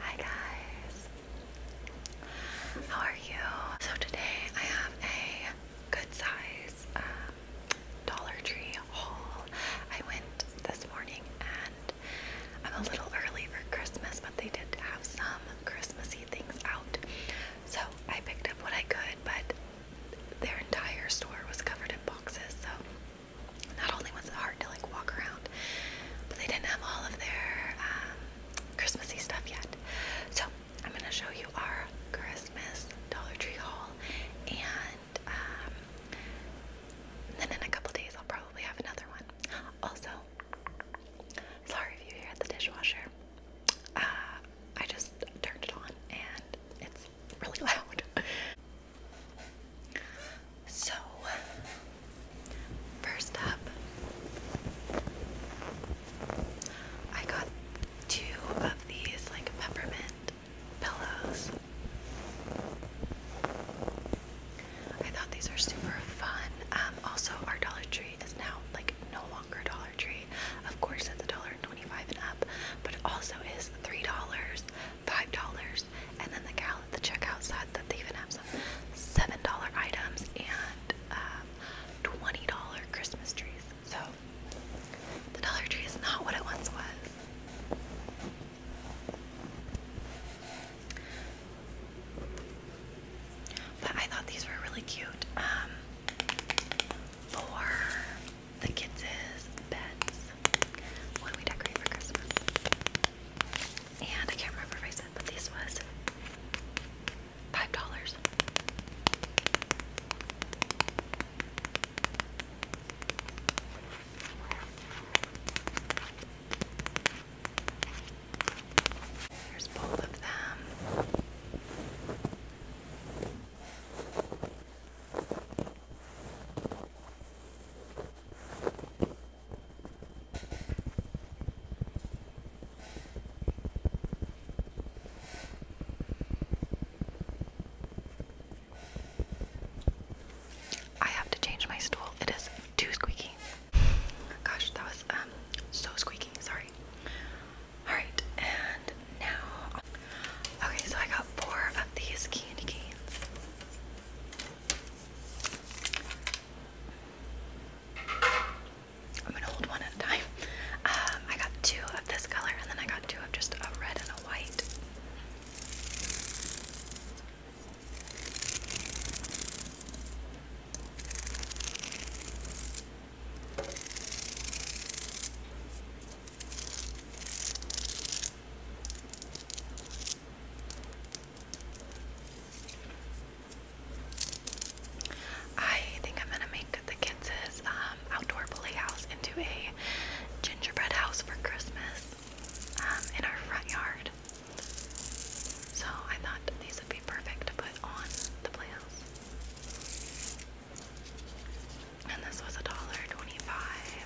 Hi guys, how are you? So today I have a good size um, Dollar Tree haul. I went this morning and I'm a little early for Christmas, but they did have some Christmassy things out. So I picked up what I could, but their entire store was covered in boxes, so not only was it hard to like walk around, but they didn't have all of their um, Christmassy stuff yet. So I'm gonna show you our Christmas Dollar Tree haul, and um, then in a couple days I'll probably have another one. Also, sorry if you hear the dishwasher. Uh, I just turned it on and it's really loud. So, first up, I got two of these like peppermint pillows. I thought these are super fun. Um, also, our Dollar Tree is now like no longer Dollar Tree. Of course, it's a dollar and twenty-five and up, but it also is three dollars five dollars, and then the gal at the checkout said that they even have some seven dollar items and um, twenty dollar Christmas trees. So the Dollar Tree is not what it once was. But I thought these were really cute um, for the kids' beds when we decorate for Christmas. And I can't remember if I said but this was. Five dollars. There's both of them. I have to change my stool. It is too squeaky. Gosh, that was um so squeaky. Sorry. All right, and now, okay, so I got four of these candy canes. I'm gonna hold one at a time. Um, I got two of this color, and then I got two of just a red and a white. I think I'm gonna make the kids' um, outdoor playhouse into a gingerbread house for Christmas um, in our front yard. So I thought these would be perfect to put on the playhouse. And this was a dollar twenty-five.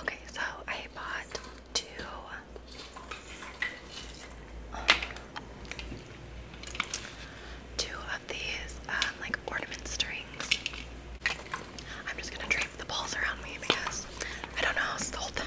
Okay, so I bought two two of these um, like ornament strings. I'm just gonna drape the balls around me because I don't know how to hold them.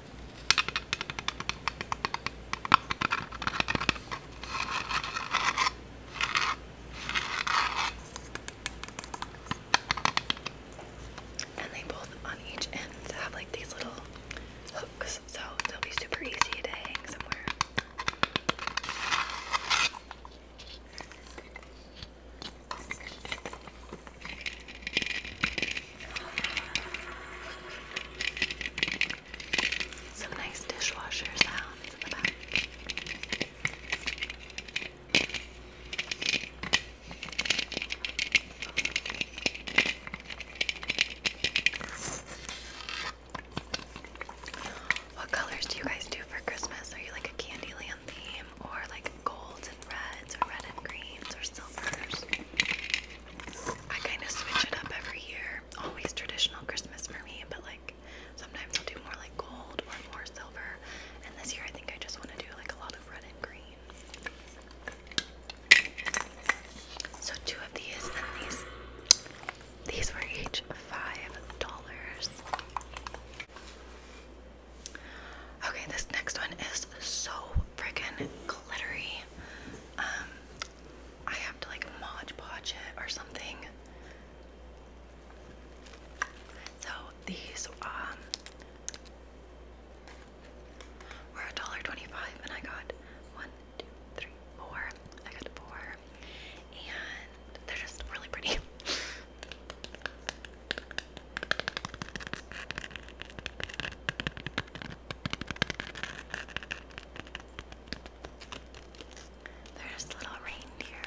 And they both on each end have like these little hooks, so they'll be super easy to hang somewhere. Some nice dishwasher sounds What colors do you guys do for Christmas? Are you like a Candyland theme or like gold reds or red and greens or silvers. I kind of switch it up every year. Always traditional Christmas for me, but like sometimes I'll do more like gold or more silver. And this year I think I just want to do like a lot of red and green. So two of these and these these were each five dollars. Okay, this next one is so freaking glittery. Um, I have to like Mod Podge it or something. So these um were a dollar twenty-five, and I got one, two, three, four. I got four, and they're just really pretty. There's little reindeer.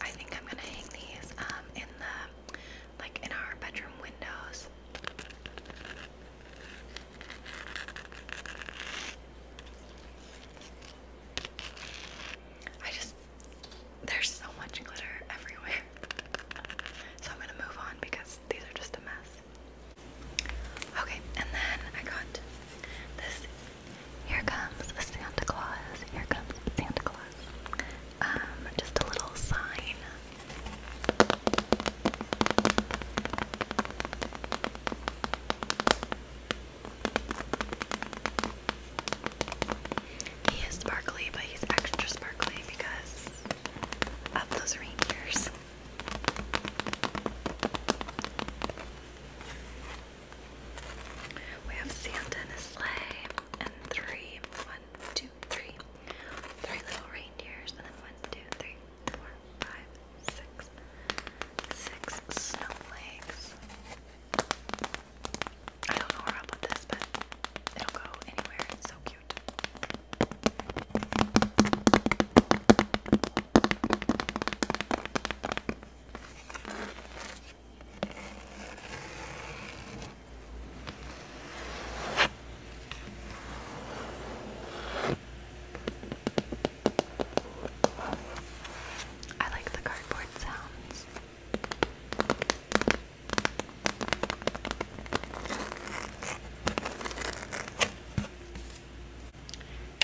I think I'm gonna hang these um in the like in our bedroom windows. I just there's so much glitter everywhere. So I'm gonna move on because these are just a mess. Okay, and then I got this. Here comes Santa Claus. Here comes Santa Claus. Um, just a little sign. He is sparkly, but he's extra sparkly because of those reindeers. We have Santa in a sleigh and three, one, two, three, three little reindeers, and then one, two, three, four, five, six, six snowflakes. I don't know where I'll put this, but it'll go anywhere. It's so cute. I like the cardboard sounds.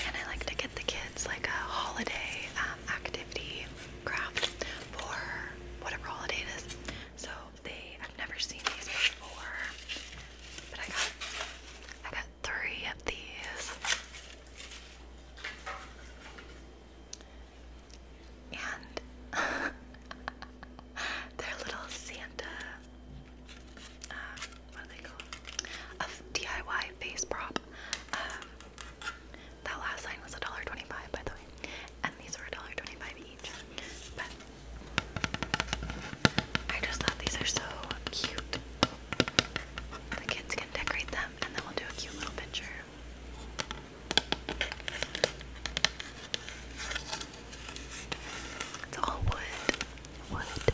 And I like to get the kids like a holiday um, activity craft for whatever holiday it is. So they, I've never seen these before, but I got, I got three of these. And they're little Santa um, a DIY face prop. Um, that last line was $1.25 by the way, and these were $1.25 each. But I just thought these are so cute. The kids can decorate them, and then we'll do a cute little picture. It's all wood. Wood.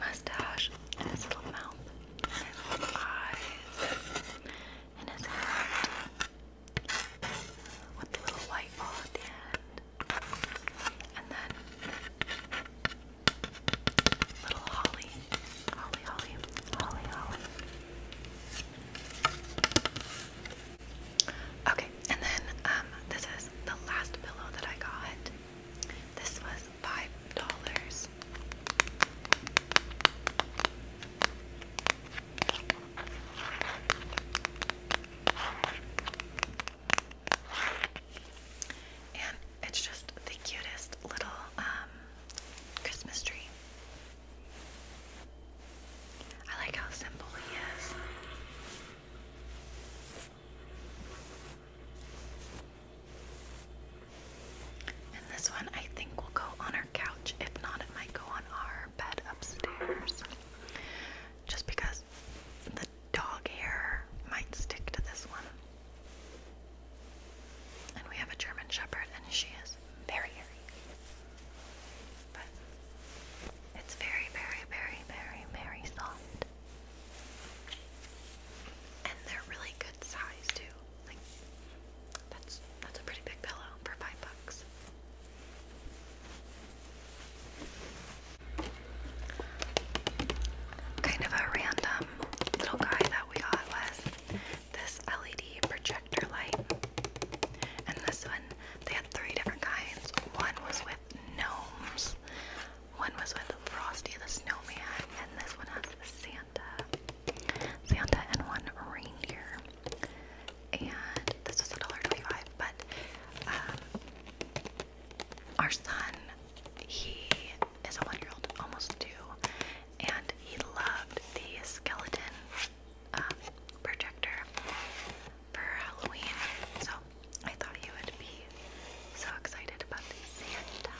mustache, and his little mouth, his little eyes, and his hat with the little white ball at the end, and then little Holly, Holly, Holly, Holly, Holly. Okay, and then um, this is the last pillow that I got. This was five dollars. And it's just the cutest little um, Christmas tree. I like how simple he is. And this one I think will go on our couch. If not, it might go on our bed upstairs. Just because the dog hair might stick to this one. And we have a German Shepherd, and she is very hairy. But it's very, very, very, very, very soft. And they're really good size too. Like that's that's a pretty big pillow for five bucks. Kind of a random little guy that we got was this LED projector light. And this one, they had three different kinds. One was with gnomes, one was with Frosty the Snowman, and this one has Santa. Santa and one reindeer. And this was $1.25, but um, our son, he is a one year old, almost two, and he loved the skeleton uh, projector for Halloween. So I thought you would be so excited about Santa.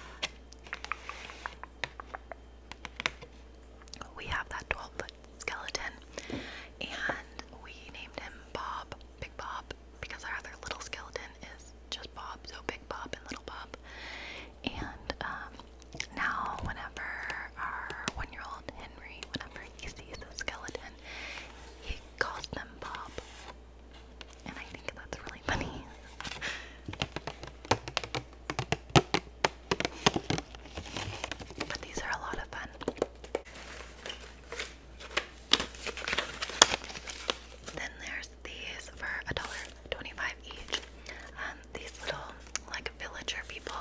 We have that 12 foot skeleton, and we named him Bob, Big Bob, because our other little skeleton is just Bob, so Big Bob and Little Bob. And um, now, whenever our one year old Henry, whenever he sees a skeleton, he calls them Bob. And I think that's really funny. But these are a lot of fun. Then there's these for a dollar twenty-five each. Um, these little like villager people.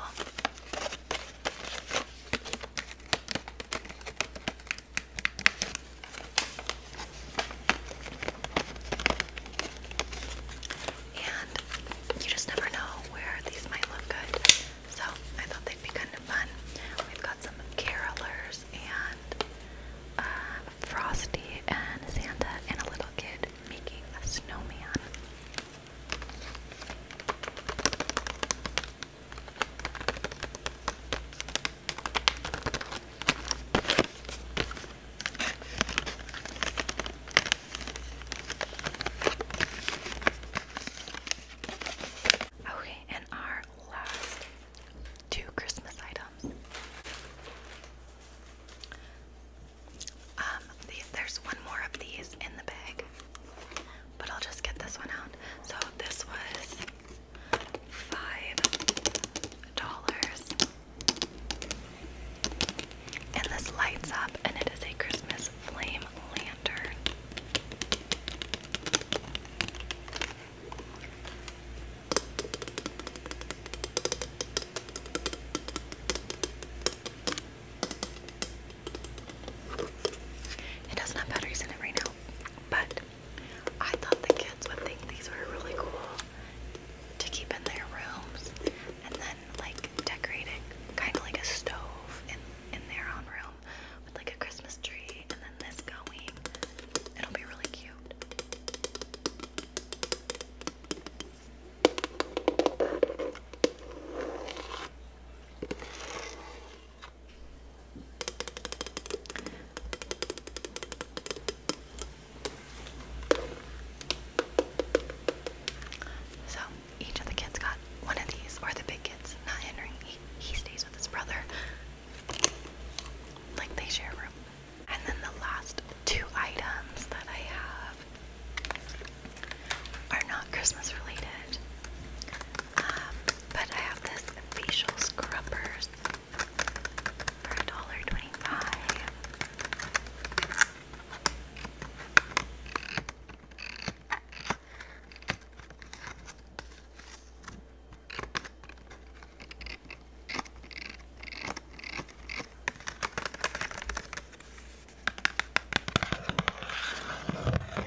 And you just never know where these might look good. So I thought they'd be kind of fun. We've got some carolers and uh, Frosty and Santa and a little kid making a snowman. Okay, and our last two Christmas items. Um, there's one more of these in the bag, but I'll just get this one out. So this was five dollars. And this lights up, and it is a Christmas flame lantern. It doesn't have batteries in it right now, but I thought the kids would think these were really cool to keep in their rooms and then like decorating, kind of like a stove in in their own room with like a Christmas tree and then this going. It'll be really cute. So each of the kids got one of these, or the big kids, not Henry. He, stays with his brother. Like they share room. And then the last two items that I have are not Christmas related. Um, but I have this facial scrubbers for $1.25.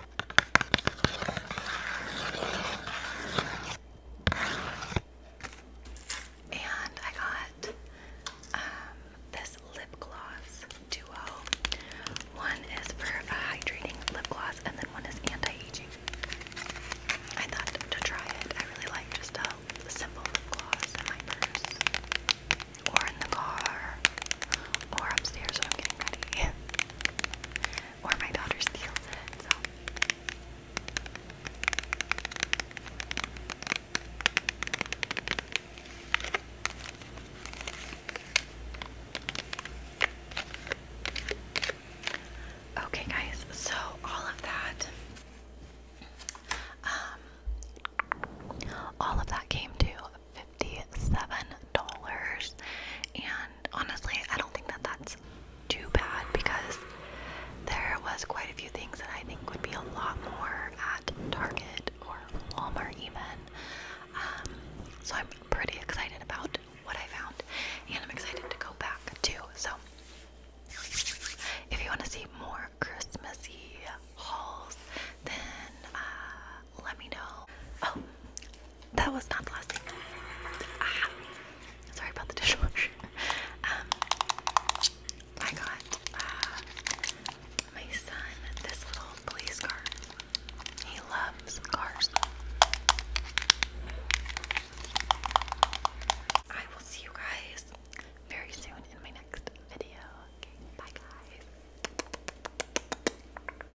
And I got um, this lip gloss duo. One is for a hydrating lip gloss, and then one is anti-aging. I thought to try it. I really like just a simple lip gloss in my purse, or in the car, or upstairs when I'm getting ready. or my daughter steals it. Okay, guys, so all of that, um, all of that came to $57. And honestly, I don't think that that's too bad because there was quite a few things that I think would be a lot more at Target or Walmart even. Um, so I'm pretty excited about what I found and I'm excited to go back too. So if you want to see more Christmassy hauls, then uh, let me know. Oh, that was not the last thing. Ah, sorry about the dishwasher. Um, I got uh, my son this little police car. He loves cars. I will see you guys very soon in my next video. bye guys.